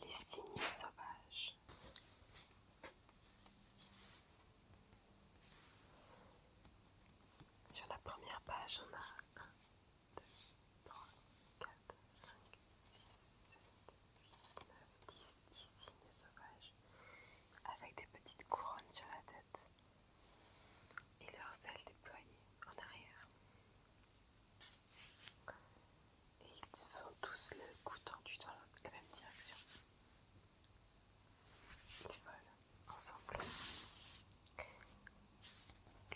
Les signes sauvages Sur la première page, on a 1, 2, 3, 4, 5, 6, 7, 8, 9, 10, 10 signes sauvages avec des petites couronnes sur la tête et leurs ailes déployées en arrière et ils sont tous le cou tendu dans la même direction. Ils volent ensemble.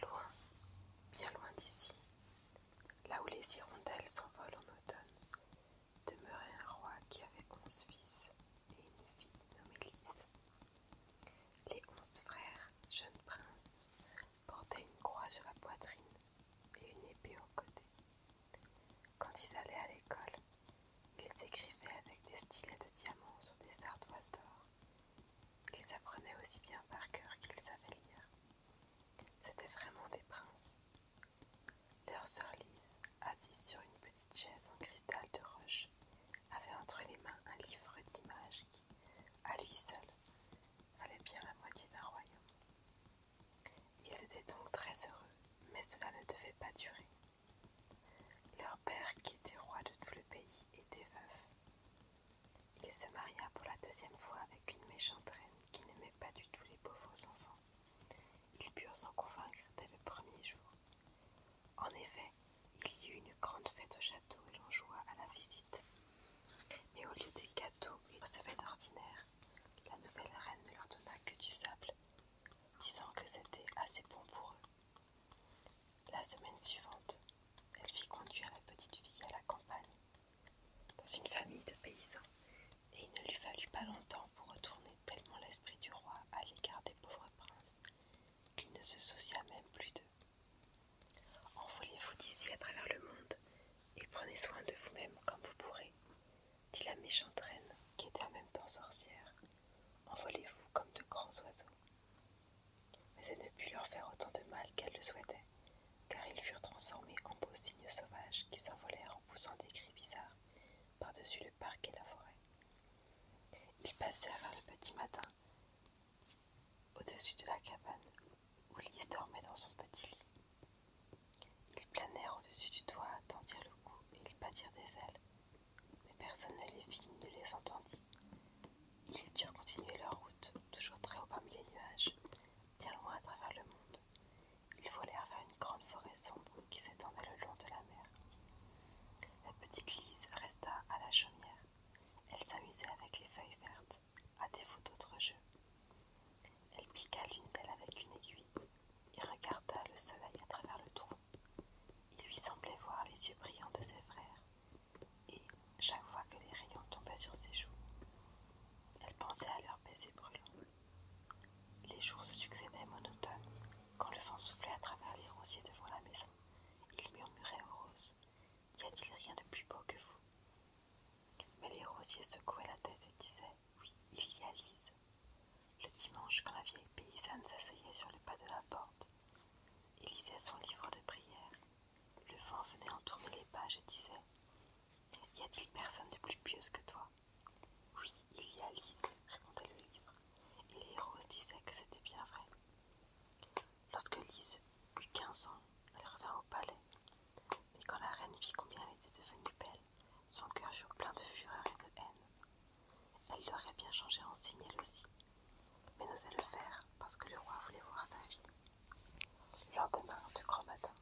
Loin, bien loin d'ici, là où les hirondelles s'envolent en automne, demeurait un roi qui avait onze fils et une fille nommée Lise. Les onze frères, jeunes princes, portaient une croix sur la poitrine et une épée au côté. Quand ils allaient à l'école, ils écrivaient avec des stylets de diamants sur des ardoises d'or. Ils apprenaient aussi bien par cœur qu'ils savaient lire. C'étaient vraiment des princes. Leur sœur Lise, assise sur une petite chaise en cristal de roche, avait entre les mains un livre d'images qui à lui seul, valait bien la moitié d'un royaume. Ils étaient donc très heureux, mais cela ne devait pas durer. Leur père, qui était roi de tout le pays, était veuf. Il se maria pour la deuxième fois avec une méchante reine qui n'aimait pas du tout les pauvres enfants. Ils purent s'en convaincre dès le premier jour. En effet, il y eut une grande fête au château et l'on joua à la visite. Mais au lieu des gâteaux qu'ils recevaient d'ordinaire, la nouvelle reine ne leur donna que du sable, disant que c'était assez bon pour eux. La semaine suivante, elle fit conduire la petite fille à la campagne, dans une famille de paysans, et il ne lui fallut pas longtemps pour retourner tellement l'esprit du roi à l'égard des pauvres princes qu'il ne se soucia même plus d'eux. Envolez-vous d'ici à travers le monde et prenez soin de vous-même comme vous pourrez, dit la méchante reine qui était en même temps sorcière. Envolez-vous comme de grands oiseaux. Mais elle ne put leur faire autant de mal qu'elle le souhaitait, car ils furent transformés en beaux cygnes sauvages qui s'envolèrent en poussant des cris bizarres par-dessus le parc et la forêt. Ils passèrent le petit matin au-dessus de la cabane où Lise dormait dans son petit lit. Ils planèrent au-dessus du toit, tendirent le cou et ils battirent des ailes. Mais personne ne les vit ni ne les entendit. Ils durent continuer leur route, toujours très haut parmi les nuages, bien loin à travers le monde. Ils volèrent vers une grande forêt sombre qui s'étendait le long de la mer. La petite Lise resta à la chaumière. Elle s'amusait avec les feuilles vertes à défaut d'autres jeux. Elle piqua l'une d'elles avec une aiguille et regarda le soleil à travers le trou. Il lui semblait voir les yeux brillants de ses frères, et chaque fois que les rayons tombaient sur ses joues, elle pensait à leurs baisers brûlants. Les jours se succédaient monotones quand le vent soufflait à travers les rosiers devant la maison. Il murmurait aux roses Y a-t-il rien de plus beau que vous mais les rosiers secouaient la tête et disaient Oui, il y a Lise. Le dimanche, quand la vieille paysanne s'asseyait sur le pas de la porte et lisait son livre de prière, le vent venait en tourner les pages et disait Y a-t-il personne de plus pieuse que toi Oui, il y a Lise, racontait le livre, et les roses disaient que c'était bien vrai. Lorsque Lise eut 15 ans, elle revint au palais. Mais quand la reine vit combien elle était devenue belle, son cœur fut plein de fureur et de haine. Elle l'aurait bien changé en signe elle aussi, mais n'osait le faire parce que le roi voulait voir sa vie. Le lendemain, de grand matin,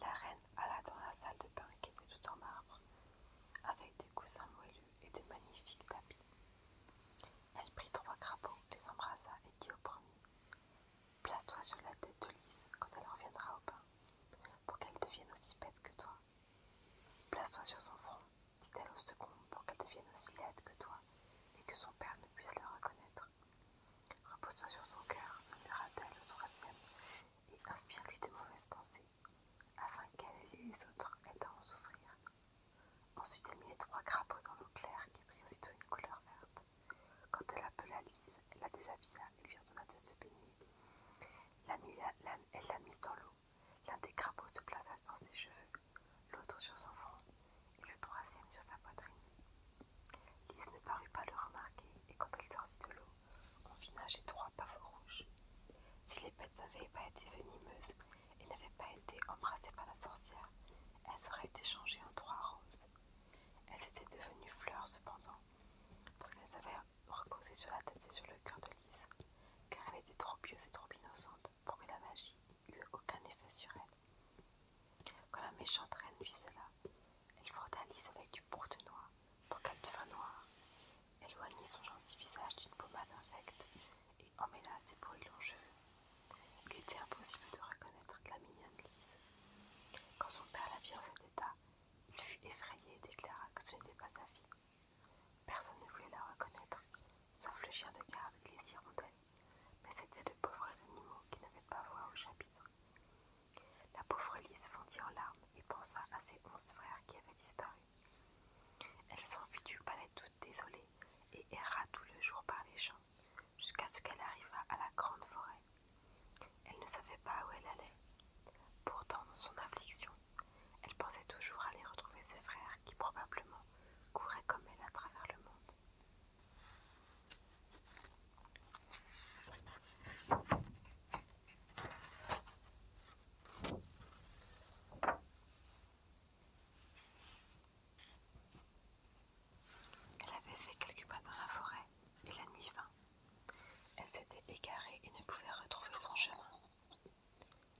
la reine alla dans la salle de bain qui était toute en marbre, avec des coussins moellus et de magnifiques tapis. Elle prit trois crapauds, les embrassa et dit au premier Place-toi sur la tête de Lise quand elle reviendra au bain, pour qu'elle devienne aussi bête que toi. Place-toi sur son front, dit-elle au second, pour qu'elle devienne aussi laide que toi, et que son père ne puisse la reconnaître. Repose-toi sur son cœur, murmura-t-elle au troisième, et inspire-lui de mauvaises pensées, afin qu'elle et les autres aient à en souffrir. Ensuite, elle mit les trois crapauds dans l'eau claire qui prit aussitôt une couleur verte. Quand elle appela Lise, elle la déshabilla et lui ordonna de se baigner. elle la mit dans l'eau. L'un des crapauds se plaça dans ses cheveux, l'autre sur son front et le troisième sur sa poitrine. Lise ne parut pas le remarquer et quand elle sortit de l'eau, on vit nager trois pavots rouges. Si les bêtes n'avaient pas été venimeuses et n'avaient pas été embrassées par la sorcière, elle elles auraient été changées en trois roses. Elles étaient devenues fleurs cependant, parce qu'elles avaient reposé sur la tête et sur le cœur de Lise, car elle était trop pieuse et trop innocente pour que la magie eût aucun effet sur elle. Quand la méchante reine vit cela, elle frotta Lise avec du bourre de noix pour qu'elle devienne noire, éloignit son gentil visage d'une pommade infecte et emmêla ses longs cheveux. Il était impossible de reconnaître la mignonne Lise. Quand son père la vit en cet état, il fut effrayé et déclara que ce n'était pas sa fille. Personne ne voulait la reconnaître, sauf le chien de garde et les hirondelles, mais c'étaient de pauvres animaux qui n'avaient pas voix au chapitre. La pauvre Lise fondit en larmes et pensa à ses onze frères qui avaient disparu. Elle s'enfuit du palais toute désolée et erra tout le jour par les champs jusqu'à ce qu'elle arriva à la grande forêt. Elle ne savait pas où elle allait. Pourtant, dans son affliction, elle pensait toujours aller retrouver ses frères qui probablement couraient comme elle à travers le monde. Elle avait fait quelques pas dans la forêt, et la nuit vint. Elle s'était égarée et ne pouvait retrouver son chemin.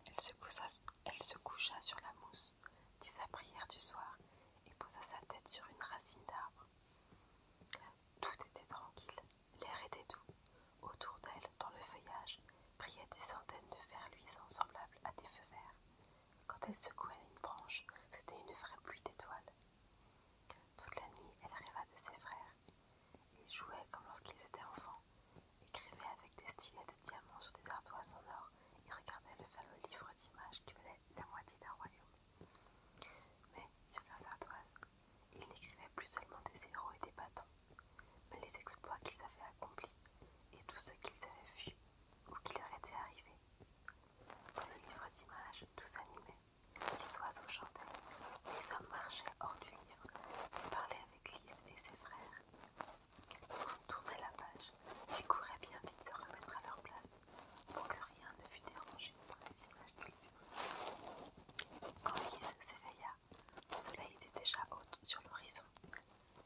Elle se, coucha, sur la mousse, dit sa prière du soir, et posa sa tête sur une racine d'arbre. Tout était tranquille, l'air était doux. Autour d'elle, dans le feuillage, priaient des centaines de vers luisants semblables à des feux verts, quand elle secouait une branche, c'était une vraie pluie d'étoiles. Toute la nuit, elle rêva de ses frères. Ils jouaient comme lorsqu'ils étaient enfants, écrivaient avec des stylets de diamants sur des ardoises en or et regardaient le fameux livre d'images qui venait la moitié d'un royaume. Mais sur leurs ardoises, ils n'écrivaient plus seulement des héros et des bâtons, mais les exploits qu'ils avaient accomplis et tout ce qu'ils avaient vu ou qui leur était arrivé. Dans le livre d'images, tout s'animait. Les oiseaux chantaient, les hommes marchaient hors du livre et parlaient avec Lise et ses frères. Lorsqu'on tournait la page, ils couraient bien vite se remettre à leur place pour que rien ne fût dérangé dans les images du livre. Quand Lise s'éveilla, le soleil était déjà haut sur l'horizon.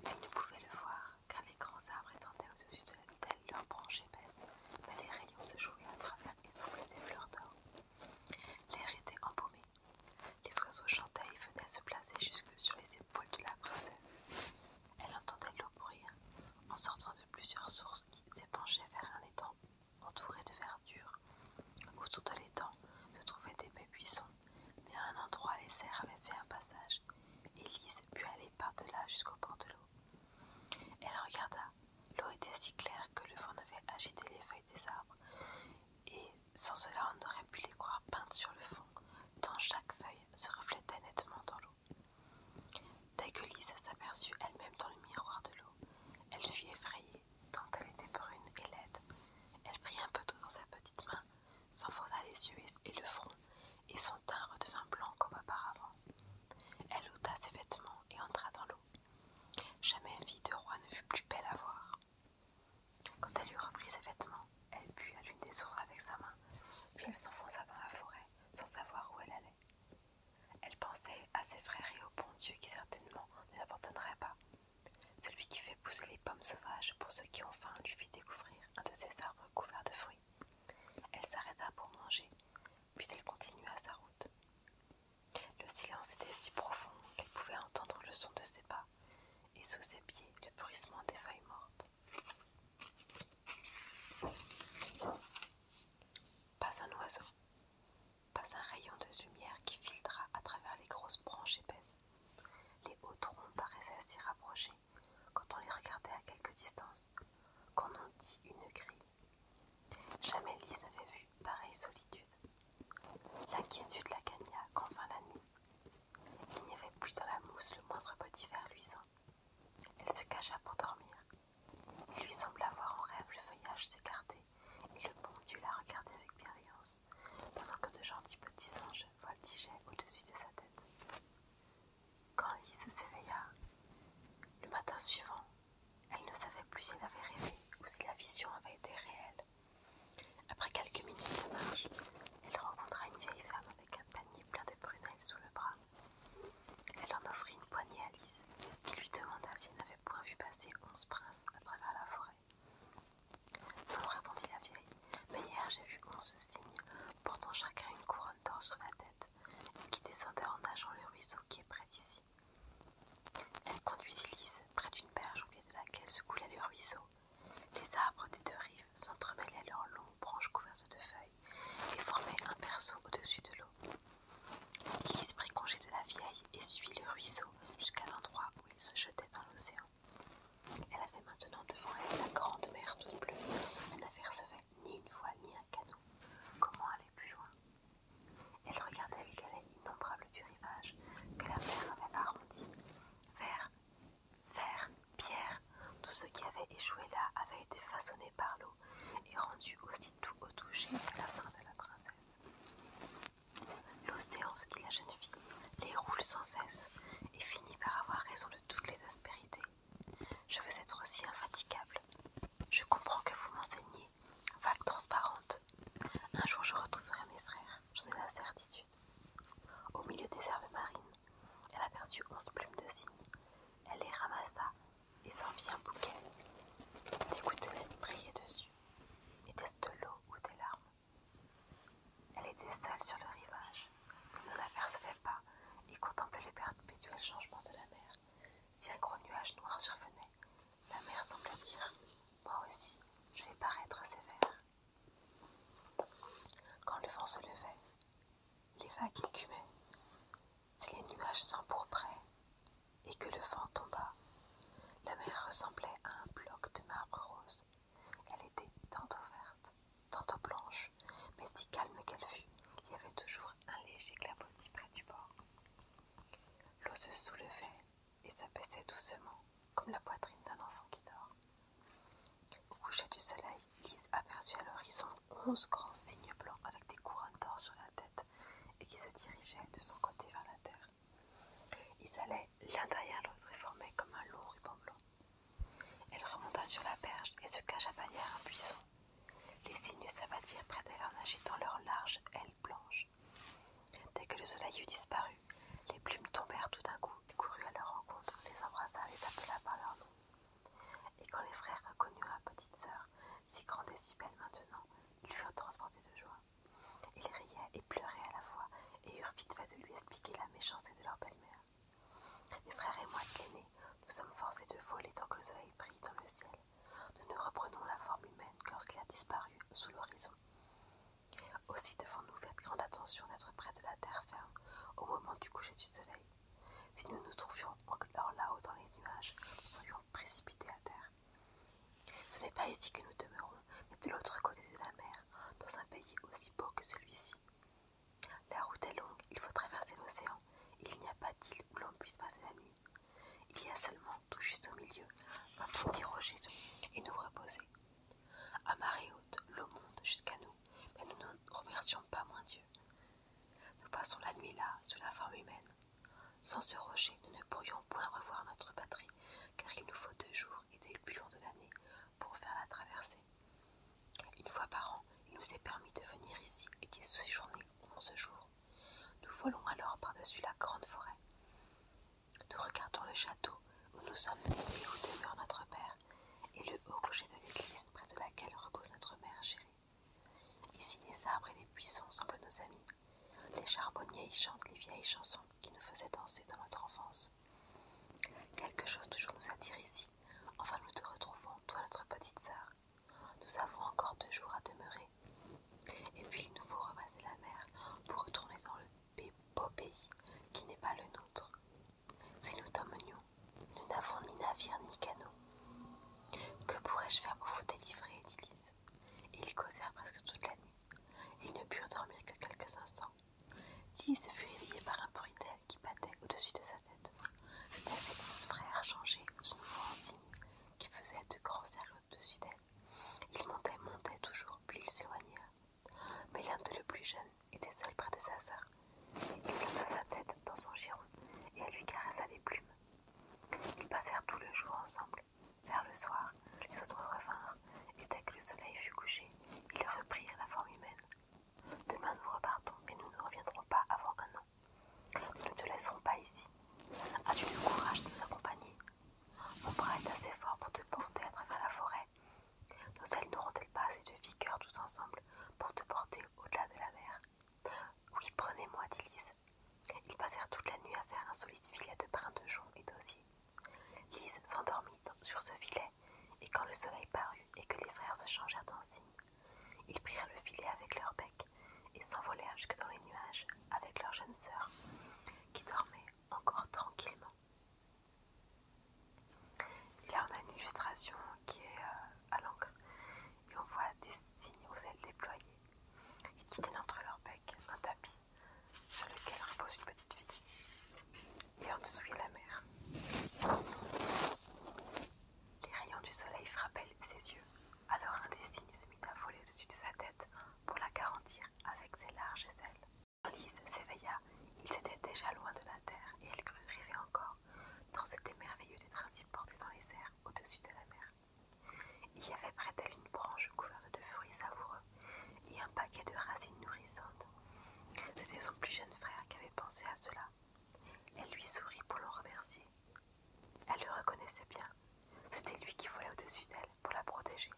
Elle ne pouvait le voir, car les grands arbres étendaient au-dessus de la telle leurs branches épaisses, mais les rayons se jouaient à travers et semblaient des fleurs d'or. L'air était embaumé. Les oiseaux chantaient et venaient se placer jusque sur les épaules de la princesse. Elle entendait l'eau courir en sortant de plusieurs sources qui s'épanchaient vers un étang entouré de verdure. Autour de l'étang se trouvaient des buissons, mais à un endroit les cerfs avaient fait un passage lise put aller par-delà jusqu'au bord de l'eau. Elle regarda. L'eau était si claire que le vent n'avait agité les feuilles des arbres, et sans cela on aurait pu les croire peintes sur le fond, tant chaque feuille se reflétait nettement dans l'eau. Dès que Lise s'aperçut elle-même dans le miroir de l'eau, elle fut effrayée, tant elle était brune et laide. Elle prit un peu d'eau dans sa petite main, s'enfonça les yeux et le front, et son teint redevint blanc comme auparavant. Elle ôta ses vêtements et entra dans l'eau. Jamais vie de roi ne fut plus belle à voir. Quand elle eut repris ses vêtements, elle but à l'une des sources avec sa main, puis elle s'enfonça dans la forêt, sans savoir où elle allait. Elle pensait à ses frères et au bon Dieu qui certainement ne l'abandonnerait pas. Celui qui fait pousser les pommes sauvages pour ceux qui ont faim lui fit découvrir un de ces arbres couverts de fruits. Elle s'arrêta pour manger, puis elle continua sa route. Le silence était si profond qu'elle pouvait entendre le son de ses pas et sous ses pieds le bruissement des feuilles mortes. Pas un oiseau, pas un rayon de lumière qui filtra à travers les grosses branches épaisses. Les hauts troncs paraissaient s'y rapprocher quand on les regardait à quelque distance, qu'on en dit une grille. Jamais Lise n'avait vu pareille solitude. L'inquiétude la gagna quand vint la nuit. Il n'y avait plus dans la mousse le moindre petit ver luisant. Elle se cacha pour dormir. Il lui sembla voir en rêve le feuillage s'écarter et le bon du la regarder avec bienveillance, pendant que de gentils petits anges voltigeaient au-dessus de sa tête. Quand Alice s'éveilla, le matin suivant, elle ne savait plus s'il avait rêvé ou si la vision avait été réelle. Après quelques minutes de marche, elle rencontra une vieille femme avec un panier plein de prunelles sous le bras. Elle en offrit une poignée à Alice, qui lui demanda si elle n'avait point vu passer onze princes à travers la forêt. Non, répondit la vieille, mais hier j'ai vu onze signes. » portant chacun une couronne d'or sur la tête, et qui descendait en nageant le ruisseau qui est près d'ici. Elle conduisit Lise près d'une berge au pied de laquelle se coulait le ruisseau. Les arbres des deux rives s'entremêlaient leurs longues branches couvertes de feuilles et formaient un berceau au-dessus de l'eau. Lise prit congé de la vieille et suivit le ruisseau jusqu'à l'endroit où il se jetait dans l'océan. Elle avait maintenant devant elle la grande mer toute bleue. Elle n'apercevait ni une voile ni un canot. Comment aller plus loin Elle regardait les galets innombrables du rivage que la mer avait arrondi. Vers, vers, pierre, tout ce qui avait échoué là avait été façonné par l'eau et rendu aussi tout au toucher la main de la princesse. L'océan, se dit la jeune fille, les roule sans cesse et finit par avoir raison de toutes les aspérités. Je veux être aussi infatigable. Je comprends que vous m'enseignez, vague transparente. Un jour je retrouverai mes frères, j'en ai la certitude. Au milieu des herbes marines, elle aperçut onze plumes de cygne. Elle les ramassa et s'en fit un bouquet. Des gouttelettes brillaient dessus. Et ce de l'eau ou des larmes elle était seule sur le rivage. On ne l'apercevait pas et contemplait les perpétuels changements de la mer. Si un gros nuage noir survenait, la mer semblait dire Moi aussi, je vais paraître sévère. Quand le vent se levait, les vagues écumaient. Si les nuages s'empourpraient et que le vent tomba, la mer ressemblait à un bloc de marbre rose elle était tantôt verte, tantôt blanche, mais si calme qu'elle fut, il y avait toujours un léger clapotis près du bord. L'eau se soulevait et s'abaissait doucement, comme la poitrine d'un enfant qui dort. Au coucher du soleil, Lise aperçut à l'horizon onze grands cygnes blancs avec des couronnes d'or sur la tête et qui se dirigeaient de son côté vers la terre. Ils allaient l'un derrière l'autre et formaient comme un lourd ruban blanc. Elle remonta sur la berge et se cacha derrière un buisson. Les cygnes s'abattirent près d'elle en agitant leurs larges ailes blanches. Dès que le soleil eut disparu, les plumes tombèrent tout d'un coup. Il courut à leur rencontre, les embrassa, les appela par leur nom. Et quand les frères reconnurent la petite sœur, si grande et si belle maintenant, ils furent transportés de joie. Ils riaient et pleuraient à la fois et eurent vite fait de lui expliquer la méchanceté de leur belle-mère. Mes frères et moi de nous sommes forcés de voler tant que le soleil brille dans le ciel. Nous ne reprenons la forme humaine que lorsqu'il a disparu sous l'horizon. Aussi devons-nous faire grande attention d'être près de la terre ferme au moment du coucher du soleil. Si nous nous trouvions encore là-haut dans les nuages, nous serions précipités à terre. Ce n'est pas ici que nous demeurons, mais de l'autre côté de la mer, dans un pays aussi beau que celui-ci. La route est longue, il faut traverser l'océan. Il n'y a pas d'île où l'on puisse passer la nuit. Il y a seulement, tout juste au milieu, un petit rocher et nous reposer. À marée haute, l'eau monte jusqu'à nous, mais nous ne remercions pas moins Dieu. Nous passons la nuit là, sous la forme humaine. Sans ce rocher, nous ne pourrions point revoir notre patrie, car il nous faut deux jours et des long de l'année pour faire la traversée. Une fois par an, il nous est permis de venir ici et d'y séjourner onze jours. Nous volons alors par-dessus la grande forêt. Nous regardons le château où nous sommes et où demeure notre père, et le haut clocher de l'église près de laquelle repose notre mère chérie. Ici, les arbres et les buissons semblent nos amis. Les charbonniers y chantent les vieilles chansons qui nous faisaient danser dans notre enfance. Quelque chose toujours nous attire ici. Enfin, nous te retrouvons, toi, notre petite sœur. Nous avons encore deux jours à demeurer. Et puis, il nous faut remasser la mer pour retourner dans le beau pays qui n'est pas le nôtre. Si nous t'emmenions, nous n'avons ni navire ni canot. Que pourrais-je faire pour vous délivrer dit Ils causèrent presque toute la nuit. Ils ne purent dormir que quelques instants. Lise fut réveillée par un bruit qui battait au-dessus de sa tête. C'était ses douze frères changés son en signe, qui faisait de grands cercles au-dessus d'elle. Ils montaient, montaient toujours, puis ils s'éloignèrent. Mais l'un de le plus jeunes était seul près de sa sœur. Il plaça sa tête dans son giron et elle lui caressa les plumes. Ils passèrent tout le jour ensemble. Vers le soir, les autres revinrent, et dès que le soleil fut couché, ils reprirent la forme humaine, Demain nous repartons, mais nous ne reviendrons pas avant un an. Nous ne te laisserons pas ici. As-tu le courage de nous accompagner Mon bras est assez fort pour te porter à travers la forêt. Nos ailes n'auront-elles pas assez de vigueur tous ensemble pour te porter au-delà de la mer Oui, prenez-moi, dit Lise. Ils passèrent toute la nuit à faire un solide filet de brins de jonc et d'osier. Lise s'endormit sur ce filet et quand le soleil parut et que les frères se changèrent en signes, ils prirent le filet avec leur bec et s'envolèrent jusque dans les nuages avec leur jeune sœur, qui dormait encore tranquillement. là, on a une illustration qui est euh, à l'encre, et on voit des signes aux ailes déployées, et qui tiennent entre leur becs un tapis sur lequel repose une petite fille et en dessous de la mer. Les rayons du soleil frappaient ses yeux, alors un des cygnes se mit à voler au-dessus de sa tête pour la garantir avec ses larges ailes. Lise s'éveilla, il étaient déjà loin de la terre et elle crut rêver encore, dans c'était merveilleux d'être ainsi porté dans les airs au-dessus de la mer. Il y avait près d'elle une branche couverte de fruits savoureux et un paquet de racines nourrissantes. C'était son plus jeune frère qui avait pensé à cela. Elle lui sourit pour le remercier. Elle le reconnaissait bien. C'était lui qui volait au-dessus d'elle pour la protéger.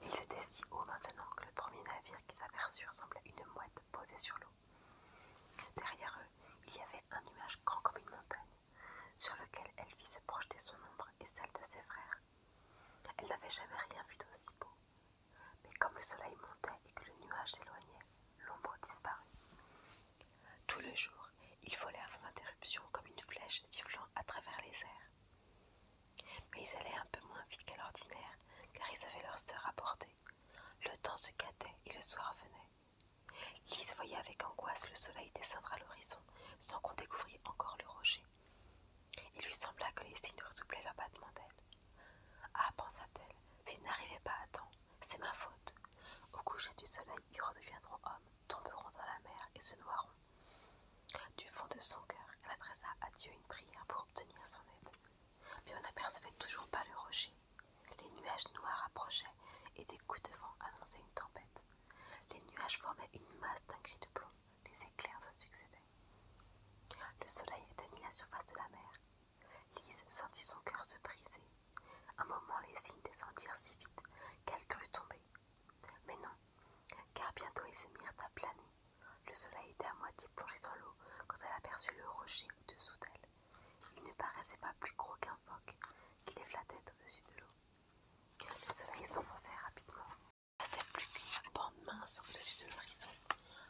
Ils étaient si haut maintenant que le premier navire qu'ils aperçurent semblait une mouette posée sur l'eau. Derrière eux, il y avait un nuage grand comme une montagne, sur lequel elle vit se projeter son ombre et celle de ses frères. Elle n'avait jamais rien vu d'aussi beau, mais comme le soleil montait et que le nuage s'éloignait, l'ombre disparut. Tout le jour, ils volèrent sans interruption comme une flèche sifflant à travers les airs. Mais ils allaient un peu moins vite qu'à l'ordinaire, car ils avaient leur sœur à porter Le temps se gâtait et le soir venait. Lise voyait avec angoisse le soleil descendre à l'horizon sans qu'on découvrit encore le rocher. Il lui sembla que les signes redoublaient leur battement d'ailes. Ah, pensa-t-elle, s'ils n'arrivaient pas à temps, c'est ma faute. Au coucher du soleil, ils redeviendront hommes, tomberont dans la mer et se noieront. Du fond de son cœur, elle adressa à Dieu une prière pour obtenir son aide. Mais on n'apercevait toujours pas le rocher. Les nuages noirs approchaient et des coups de vent annonçaient une tempête. Les nuages formaient une masse d'un gris de plomb les éclairs se succédaient. Le soleil éteignit la surface de la mer. Lise sentit son cœur se briser. Un moment, les signes descendirent si vite qu'elle crut tomber. Mais non, car bientôt ils se mirent à planer. Le soleil était à moitié plongé dans l'eau quand elle aperçut le rocher au-dessous d'elle. Il ne paraissait pas plus gros qu'un phoque qui les flattait au-dessus de l'eau. Le soleil s'enfonçait rapidement restait plus qu'une bande mince au-dessus de l'horizon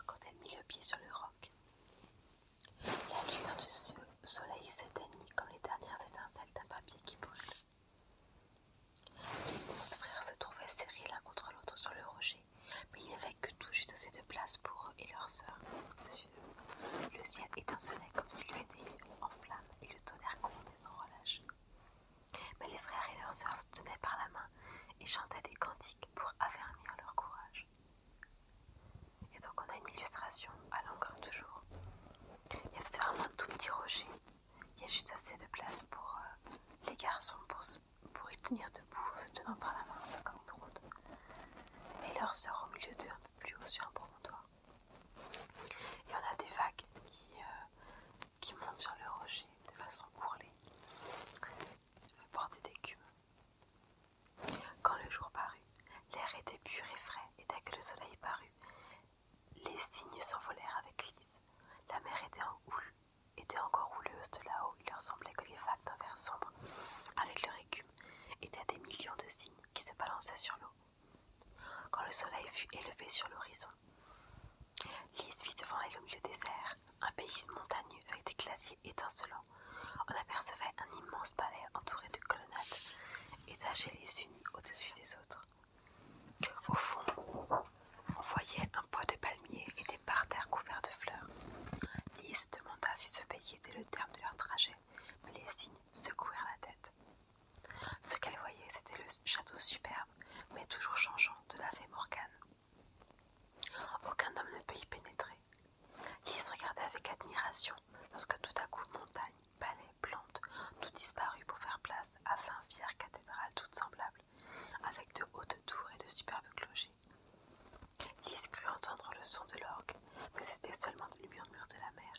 quand elle mit le pied sur le roc. La lueur du soleil s'éteignit comme les dernières étincelles d'un papier qui brûle. Les onze frères se trouvaient serrés l'un contre l'autre sur le rocher, mais il n'y avait que tout juste assez de place pour eux et leur sœur. Le ciel étincelait comme s'il eût été en flammes et le tonnerre à sans relâche. Mais les frères et leurs sœurs se tenaient par la main et chantaient des cantiques pour affermir leur courage. Et donc on a une illustration à l'encre toujours. C'est vraiment un tout petit rocher. Il y a juste assez de place pour euh, les garçons pour, pour y tenir debout en se tenant par la main un peu comme une route. Et leurs sœurs au milieu d'eux un peu plus haut sur un promontoire. Et on a des vagues qui euh, qui montent sur le rocher de façon courlée, portée d'écume. Quand le jour parut, l'air était pur et frais, et dès que le soleil parut, les cygnes s'envolèrent avec Lise. La mer était, en houle, était encore houleuse de là-haut, il leur semblait que les vagues d'un verre sombre, avec leur écume, étaient des millions de cygnes qui se balançaient sur l'eau. Quand le soleil fut élevé sur l'horizon, Lise vit devant elle au milieu des airs, un pays montagneux avec des glaciers étincelants. On apercevait un immense palais entouré de colonnades, étagées les unes au-dessus des autres. Au fond, on voyait un bois de palmiers et des parterres couverts de fleurs. Lise demanda si ce pays était le terme de leur trajet, mais les signes secouèrent la tête. Ce qu'elle voyait, c'était le château superbe mais toujours changeant, de la fée Morgane. Aucun homme ne peut y pénétrer. Lise regardait avec admiration lorsque tout à coup montagne, palais, plantes, tout disparut pour faire place à vingt fières cathédrales toutes semblables, avec de hautes tours et de superbes clochers. Lise crut entendre le son de l'orgue, mais c'était seulement le murmure de la mer.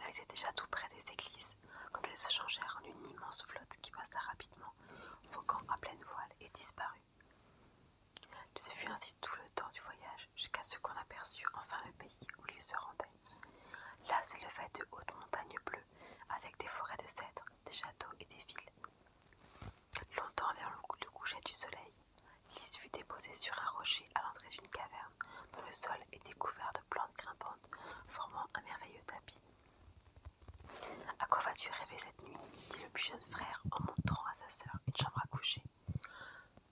Elle était déjà tout près des églises quand elles se changèrent en une immense flotte qui passa rapidement Vocant à pleine voile, et disparut. Ce fut ainsi tout le temps du voyage, jusqu'à ce qu'on aperçût enfin le pays où l'île se rendait. Là s'élevaient de hautes montagnes bleues, avec des forêts de cèdres, des châteaux et des villes. Longtemps vers le coucher du soleil, Lise fut déposée sur un rocher à l'entrée d'une caverne, dont le sol était couvert de plantes grimpantes, formant un merveilleux tapis. À quoi vas-tu rêver cette nuit dit le plus jeune frère en montrant à sa sœur une chambre à coucher.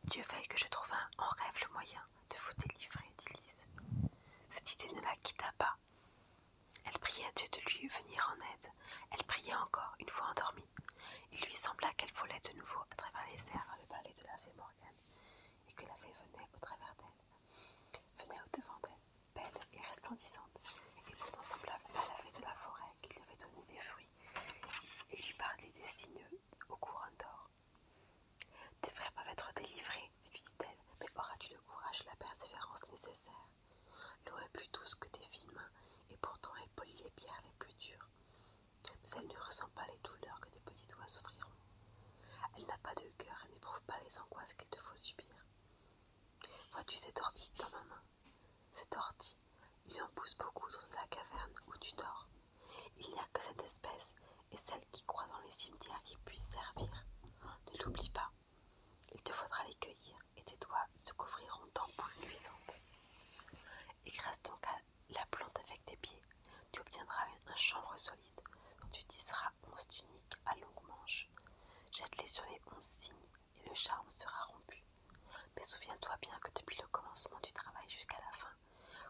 Dieu veuille que je trouve en rêve le moyen de vous délivrer, dit Lise. Cette idée ne la quitta pas. Elle priait à Dieu de lui venir en aide. Elle priait encore, une fois endormie. Il lui sembla qu'elle volait de nouveau à travers les airs le palais de la fée Morgane, et que la fée venait au travers d'elle, venait au-devant d'elle belle et resplendissante, et pourtant semblable à la fée de la forêt qui lui avait donné des fruits et lui parlait des signes au courant d'or. Tes frères peuvent être délivrés, lui dit-elle, mais auras-tu le courage et la persévérance nécessaires L'eau est plus douce que tes fines mains, et pourtant elle polit les pierres les plus dures. Mais elle ne ressent pas les douleurs que tes petits doigts souffriront. Elle n'a pas de cœur et n'éprouve pas les angoisses qu'il te faut subir. Vois-tu cet ordi dans ma main Cet il en pousse beaucoup dans la caverne où tu dors. Il n'y a que cette espèce et celle qui croît dans les cimetières qui puisse servir. Ne l'oublie pas. Il te faudra les cueillir et tes doigts se couvriront d'ampoules cuisantes. Écrase donc la plante avec tes pieds. Tu obtiendras un chambre solide dont tu tisseras onze tuniques à longues manches. Jette-les sur les onze signes et le charme sera rompu. Mais souviens-toi bien que depuis le commencement du travail jusqu'à la fin,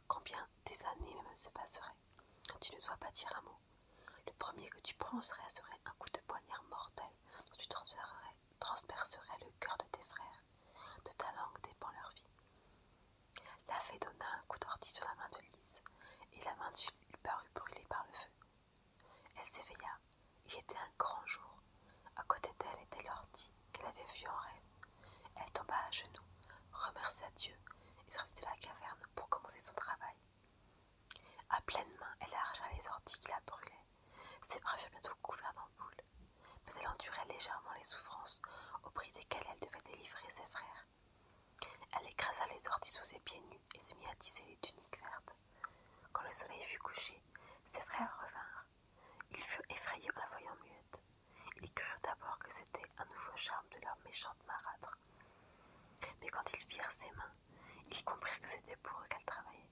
combien des années même se passeraient, tu ne dois pas dire un mot. Le premier que tu prononcerais serait un coup de poignard mortel dont tu transpercerais, le cœur de tes frères. De ta langue dépend leur vie. La fée donna un coup d'ordi sur la main de Lise, et la main de lui parut brûlé par le feu. Elle s'éveilla. Il était un grand jour. À côté d'elle était l'ortie qu'elle avait vue en rêve. Elle tomba à genoux, remercia Dieu et sortit de la caverne pour commencer son travail. À pleine main, elle arracha les orties qui la brûlaient. Ses bras furent bientôt couverts d'ampoules, mais elle endurait légèrement les souffrances au prix desquelles elle devait délivrer ses frères. Elle écrasa les orties sous ses pieds nus et se mit à tisser les tuniques vertes. Quand le soleil fut couché, ses frères revinrent. Ils furent effrayés en la voyant muette. Ils crurent d'abord que c'était un nouveau charme de leur méchante marâtre. Mais quand ils virent ses mains, ils comprirent que c'était pour eux qu'elle travaillait.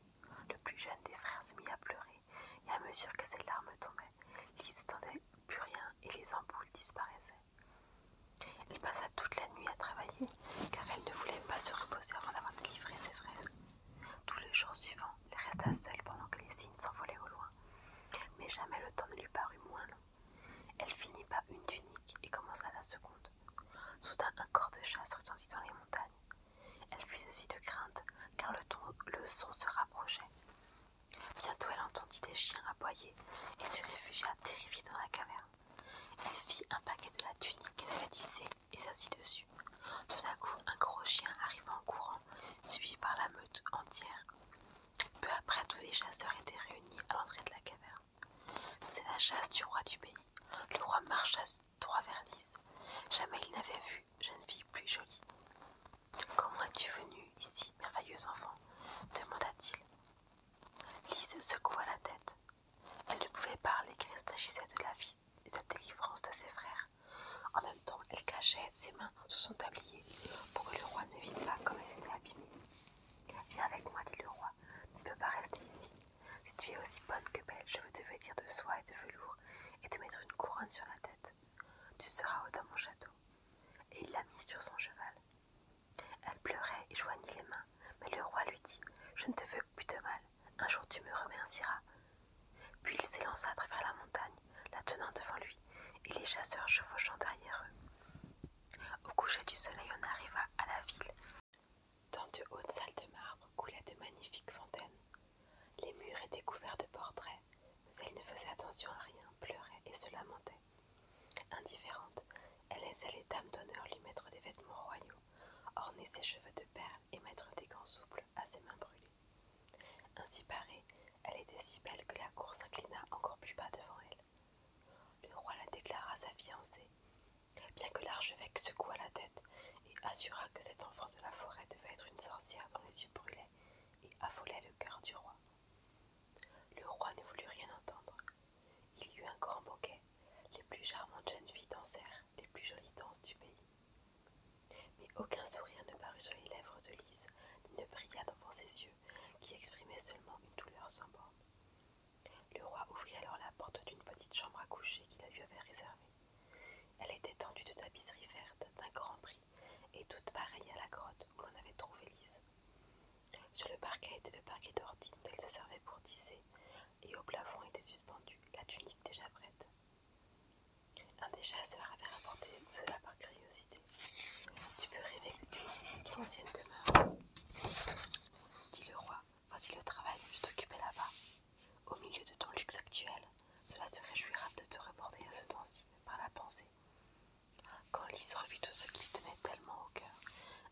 Le plus jeune des frères se mit à pleurer, et à mesure que ses larmes tombaient, Lise tendait plus rien et les emboules disparaissaient. Elle passa toute la nuit à travailler car elle ne voulait pas se reposer avant d'avoir délivré ses frères. Tous les jours suivants, elle resta seule pendant que les signes s'envolaient au loin, mais jamais le temps ne lui parut moins long. Elle finit par une tunique et commença la seconde. Soudain, un corps de chasse retentit dans les montagnes. Elle fut saisie de crainte car le son se rapprochait. Bientôt, elle entendit des chiens aboyer et se réfugia terrifiée dans la caverne. Elle fit un paquet de la tunique qu'elle avait tissée et s'assit dessus. Tout à coup, un gros chien arriva en courant, suivi par la meute entière. Peu après, tous les chasseurs étaient réunis à l'entrée de la caverne. C'est la chasse du roi du pays. Le roi marcha droit vers Jamais il n'avait vu jeune fille plus jolie. Comment es-tu venu ici, merveilleux enfant demanda-t-il. Lise secoua la tête. Elle ne pouvait parler car il s'agissait de la vie et de la délivrance de ses frères. En même temps, elle cachait ses mains sous son tablier pour que le roi ne vînt pas comme elle s'était abîmée. Viens avec moi, dit le roi. Tu ne peux pas rester ici. Si tu es aussi bonne que belle, je veux te vêtir de soie et de velours et te mettre une couronne sur la tête. Tu seras au dans mon château. Et il la mit sur son cheval. Elle pleurait et joignit les mains, mais le roi lui dit Je ne te veux plus de mal, un jour tu me remercieras. Puis il s'élança à travers la montagne, la tenant devant lui, et les chasseurs chevauchant derrière eux. Au coucher du soleil, on arriva à la ville. Dans de hautes salles de marbre coulaient de magnifiques fontaines. Les murs étaient couverts de portraits, mais elle ne faisait attention à rien, pleurait et se lamentait. Indifférente, elle laissa les dames d'honneur lui mettre des vêtements royaux, orner ses cheveux de perles et mettre des gants souples à ses mains brûlées. Ainsi parée, elle était si belle que la cour s'inclina encore plus bas devant elle. Le roi la déclara sa fiancée, bien que l'archevêque secouât la tête et assura que cet enfant de la forêt devait être une sorcière dont les yeux brûlaient et affolaient le cœur du roi. Le roi ne voulut rien entendre. Il y eut un grand banquet. Les plus charmantes jeunes filles dansèrent les plus jolies danses du pays. Mais aucun sourire ne parut sur les lèvres de Lise, ni ne brilla devant ses yeux, qui exprimait seulement une douleur sans borne. Le roi ouvrit alors la porte d'une petite chambre à coucher qu'il lui avait réservée. Elle était tendue de tapisserie verte d'un grand prix et toute pareille à la grotte où l'on avait trouvé Lise. Sur le parquet était le parquet d'ortie dont elle se servait pour tisser, et au plafond était suspendue la tunique déjà prête. Un des chasseurs avait rapporté cela par curiosité. Tu peux rêver que tu es ici, ton ancienne demeure, dit le roi. Voici le travail que je t'occupais là-bas. Au milieu de ton luxe actuel, cela te réjouira de te reporter à ce temps-ci par la pensée quand Lise revit tout ce qui lui tenait tellement au cœur,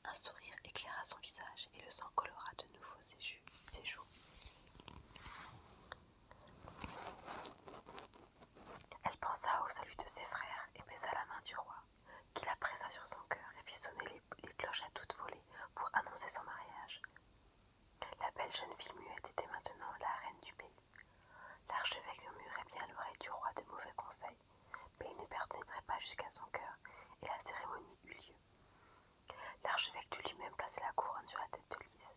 un sourire éclaira son visage et le sang colora de nouveau ses, joues, Elle pensa au salut de ses frères et baisa la main du roi, qui la pressa sur son cœur et fit sonner les, cloches à toutes volée pour annoncer son mariage. La belle jeune fille muette était maintenant la reine du pays. L'archevêque murmurait bien l'oreille du roi de mauvais conseils mais il ne pénétrait pas jusqu'à son cœur et la cérémonie eut lieu. L'archevêque dut lui-même placer la couronne sur la tête de Lise.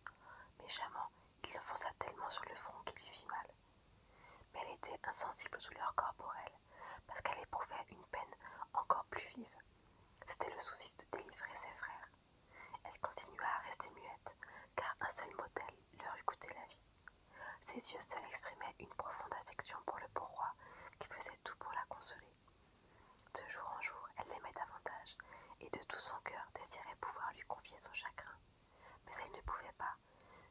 Méchamment, il l'enfonça tellement sur le front qu'il lui fit mal. Mais elle était insensible aux douleurs corporelles, parce qu'elle éprouvait une peine encore plus vive. C'était le souci de délivrer ses frères. Elle continua à rester muette, car un seul mot d'elle leur eût coûté la vie. Ses yeux seuls exprimaient une profonde affection pour le beau roi qui faisait tout pour la consoler. De jour en jour, elle l'aimait davantage et de tout son cœur désirait pouvoir lui confier son chagrin. Mais elle ne pouvait pas.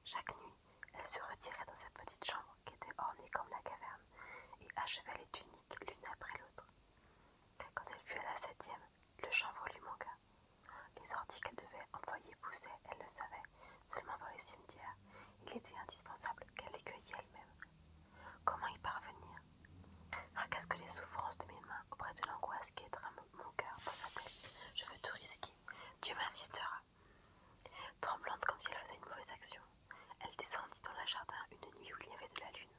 Chaque nuit, elle se retirait dans sa petite chambre qui était ornée comme la caverne et achevait les tuniques l'une après l'autre. Quand elle fut à la septième, le chanvre lui manqua. Les orties qu'elle devait employer poussaient, elle le savait, seulement dans les cimetières. Il était indispensable qu'elle les cueillît elle-même. Comment y parvenir que les souffrances de mes mains auprès de l'angoisse qui étreint mon cœur, pensa sa Je veux tout risquer. Dieu m'insistera. Tremblante comme si elle faisait une mauvaise action, elle descendit dans le jardin une nuit où il y avait de la lune,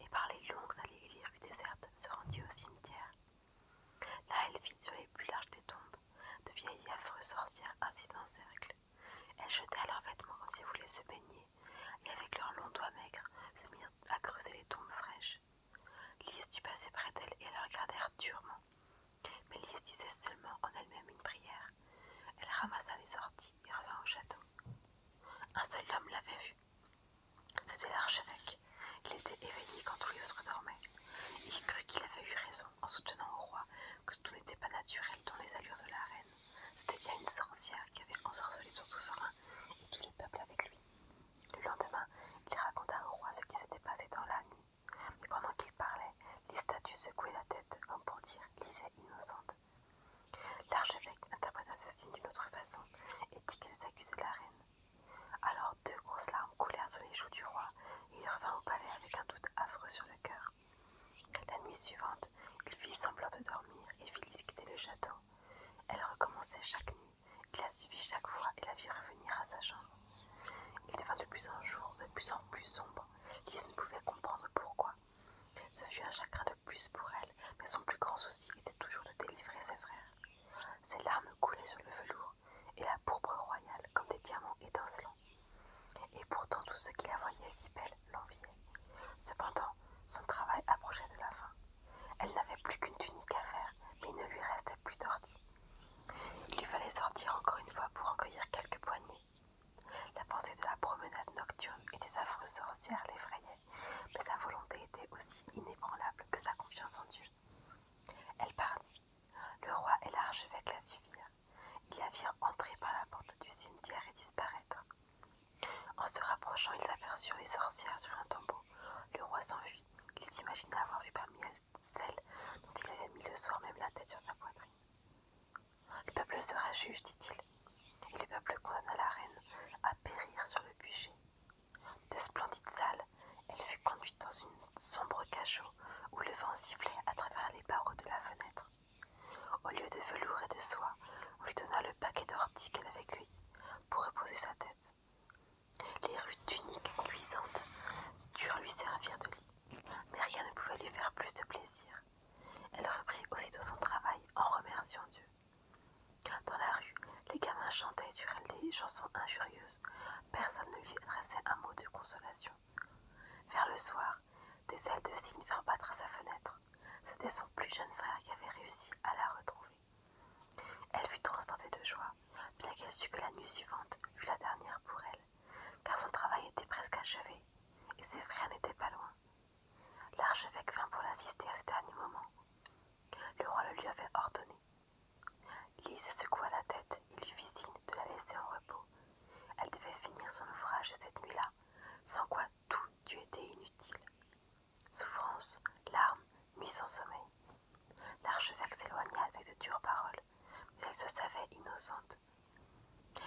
et par les longues allées et les rues désertes se rendit au cimetière. Là, elle vit sur les plus larges des tombes de vieilles affreuses sorcières assises en cercle. Elles jetèrent leurs vêtements comme si elles voulaient se baigner, et avec leurs longs doigts maigres se mirent à creuser les tombes fraîches. Lise dut passer près d'elles et elles regardèrent durement. Mais Lise disait seulement en elle-même une prière. Elle ramassa les sorties et revint au château. Un seul homme l'avait vue. C'était l'archevêque. Il était éveillé quand tous les autres dormaient. il crut qu'il avait eu raison en soutenant au roi que tout n'était pas naturel dans les allures de la reine. C'était bien une sorcière qui avait ensorcelé son souverain et tous le peuples avec lui. Le lendemain, il raconta au roi ce qui s'était passé dans la nuit. Mais pendant qu'il parlait, les statues secouaient la tête comme pour dire lisait innocente. L'archevêque interpréta signe d'une autre façon et dit qu'elles de la reine. Alors deux grosses larmes coulèrent sur les joues du roi, et il revint au palais avec un doute affreux sur le cœur. La nuit suivante, il fit semblant de dormir et fit quitter le château. Elle recommençait chaque nuit, il la suivit chaque fois et la vit revenir à sa chambre. Il devint de plus en jour, de plus en plus sombre. Lise ne pouvait comprendre pourquoi. Ce fut un chagrin de plus pour elle, mais son plus grand souci était toujours de délivrer ses frères. Ses larmes coulaient sur le velours et la pourpre royale comme des diamants étincelants. Et pourtant tout ce qui la voyaient si belle l'enviaient. Cependant, son travail approchait de la fin. Elle n'avait plus qu'une tunique à faire, mais il ne lui restait plus d'ortie. Il lui fallait sortir encore une fois pour en cueillir quelques poignées. La pensée de la promenade nocturne et des affreuses sorcières l'effrayait, mais sa volonté était aussi inébranlable que sa confiance en Dieu. Elle partit. Le roi et l'archevêque la suivirent. Ils la virent entrer par la porte du cimetière et disparaître. En se rapprochant, ils aperçurent les sorcières sur un tombeau. Le roi s'enfuit. Il s'imagina avoir vu parmi elles celle dont il avait mis le soir même la tête sur sa poitrine. Le peuple sera juge, dit-il. Et le peuple condamna la reine à périr sur le bûcher. De splendides salles, elle fut conduite dans une sombre cachot où le vent sifflait à travers les barreaux de la fenêtre. Au lieu de velours et de soie, on lui donna le paquet d'orties qu'elle avait cueilli pour reposer sa tête. Les rues tuniques cuisantes durent lui servir de lit, mais rien ne pouvait lui faire plus de plaisir. Elle reprit aussitôt son travail en remerciant Dieu. Dans la rue, les gamins chantaient sur elle des chansons injurieuses, personne ne lui adressait un mot de consolation. Vers le soir, des ailes de cygne vinrent battre à sa fenêtre. C'était son plus jeune frère qui avait réussi à la retrouver. Elle fut transportée de joie, bien qu'elle sût que la nuit suivante fut la dernière pour elle, car son travail était presque achevé, et ses frères n'étaient pas loin. L'archevêque vint pour l'assister à ce dernier moment. Le roi le lui avait ordonné Lise secoua la tête et lui fit signe de la laisser en repos. Elle devait finir son ouvrage cette nuit-là, sans quoi tout eût été inutile. Souffrance, larmes, nuit sans sommeil. L'archevêque s'éloigna avec de dures paroles, mais elle se savait innocente.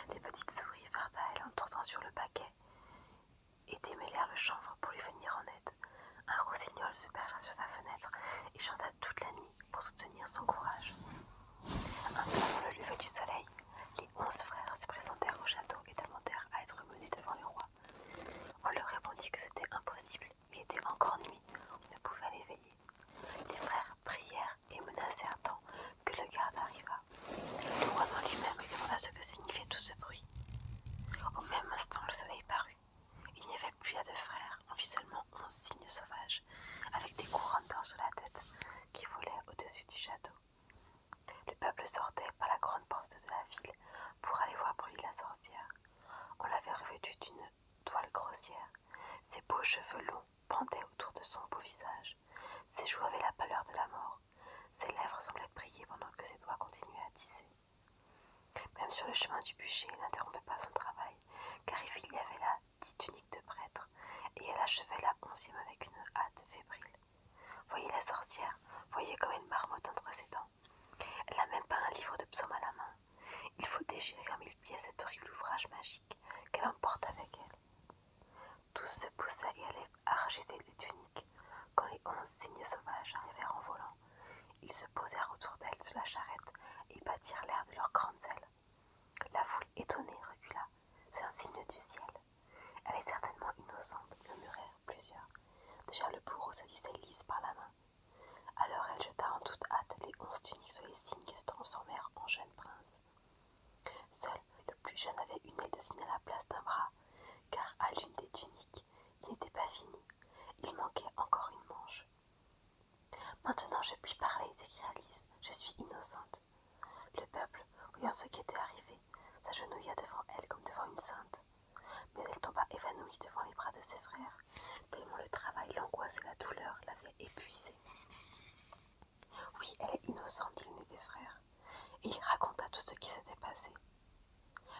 Les petites souris vinrent à elle en tournant sur le paquet et démêlèrent le chanvre pour lui venir en aide. Un rossignol se percha sur sa fenêtre et chanta toute la nuit pour soutenir son courage. Un peu avant le lever du soleil, les onze frères se présentèrent au château et demandèrent à être menés devant le roi. On leur répondit que c'était impossible, il était encore nuit, on ne pouvait l'éveiller. Les frères prièrent et menacèrent tant que le garde arriva. Le roi dans lui-même lui demanda ce que signifiait tout ce bruit. Au même instant, le soleil parut. Il n'y avait plus à deux frères, on vit seulement un signe sauvage avec des couronnes d'or sous la tête, qui volaient au-dessus du château. Le peuple sortait par la grande porte de la ville pour aller voir de la sorcière. On l'avait revêtue d'une toile grossière. Ses beaux cheveux longs pendaient autour de son beau visage. Ses joues avaient la pâleur de la mort. Ses lèvres semblaient prier pendant que ses doigts continuaient à tisser. Même sur le chemin du bûcher, il n'interrompait pas son travail, car il y avait là, dix tuniques de prêtre, et elle achevait la onzième avec une hâte fébrile. Voyez la sorcière, voyez comme elle marmotte entre ses dents. Elle n'a même pas un livre de psaumes à la main. Il faut déchirer en mille pieds cet horrible ouvrage magique qu'elle emporte avec elle. Tous se poussaient et allaient arracher les tuniques quand les onze signes sauvages arrivèrent en volant. Ils se posèrent autour d'elle sur la charrette et battirent l'air de leurs grandes ailes. La foule étonnée recula. C'est un signe du ciel. Elle est certainement innocente, murmurèrent plusieurs. Déjà le bourreau saisissait Lise par la main. Alors elle jeta en toute hâte les onze tuniques sur les signes qui se transformèrent en jeunes princes. Seul le plus jeune avait une aile de signe à la place d'un bras, car à l'une des tuniques, il n'était pas fini. Il manquait encore une manche. Maintenant je puis parler, s'écria Alice, Je suis innocente. Le peuple, voyant ce qui était arrivé, s'agenouilla devant elle comme devant une sainte. Mais elle tomba évanouie devant les bras de ses frères, tellement le travail, l'angoisse et la douleur l'avaient épuisée. Oui, elle est innocente, dit n'est des frères, et il raconta tout ce qui s'était passé.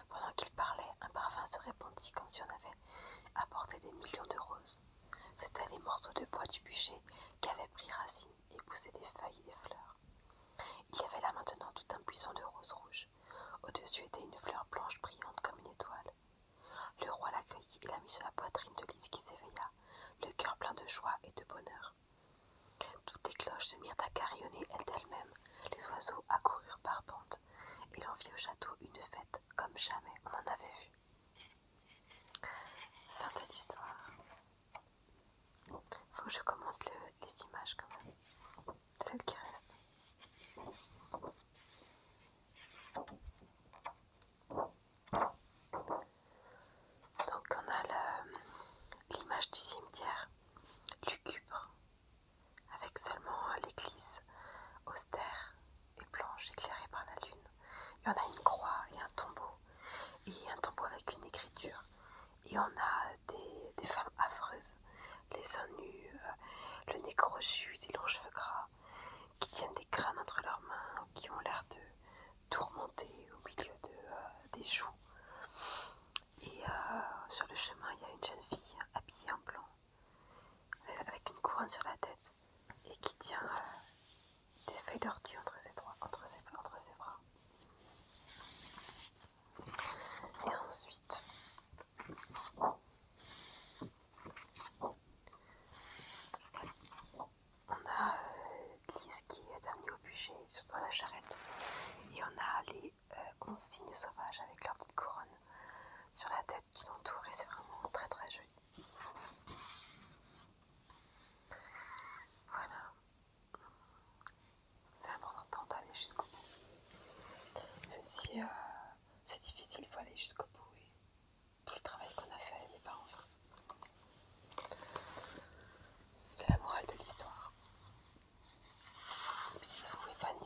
Pendant qu'il parlait, un parfum se répandit comme si on avait apporté des millions de roses. C'étaient les morceaux de bois du bûcher qui avaient pris racine et poussé des feuilles et des fleurs. Il y avait là maintenant tout un buisson de roses rouges. Au-dessus était une fleur blanche brillante comme une étoile. Le roi l'accueillit et la mit sur la poitrine de Lise qui s'éveilla, le cœur plein de joie et de bonheur. Toutes les cloches se mirent à carillonner elles mêmes les oiseaux accoururent par bandes. Il et au château une fête comme jamais on en avait vu. Fin de l'histoire. Faut que je commente les images quand même. Celles qui restent. Donc on a l'image du cimetière lucubre avec seulement euh, l'église austère et blanche éclairée par la lune. Il y en a une croix et un tombeau, et un tombeau avec une écriture. Et on a des, femmes affreuses, les seins nus, euh, le nez crochu, des longs cheveux gras, qui tiennent des crânes entre leurs mains, qui ont l'air de tourmenter au milieu euh, des joues. Et sur le chemin, il y a une jeune fille habillée en blanc euh, avec une couronne sur la tête et qui tient euh, des feuilles d'ortie entre ses, entre, ses, entre ses bras. Et ensuite, on a euh, qui est dernier au bûcher sur la charrette et on a les on euh, signe sauvage avec leur petite couronne sur la tête qui l'entoure et c'est vraiment très très joli. Voilà, c'est important d'aller jusqu'au bout. Même si euh, c'est difficile, il faut aller jusqu'au bout et tout le travail qu'on a fait n'est pas en C'est la morale de l'histoire. Bisous et bonne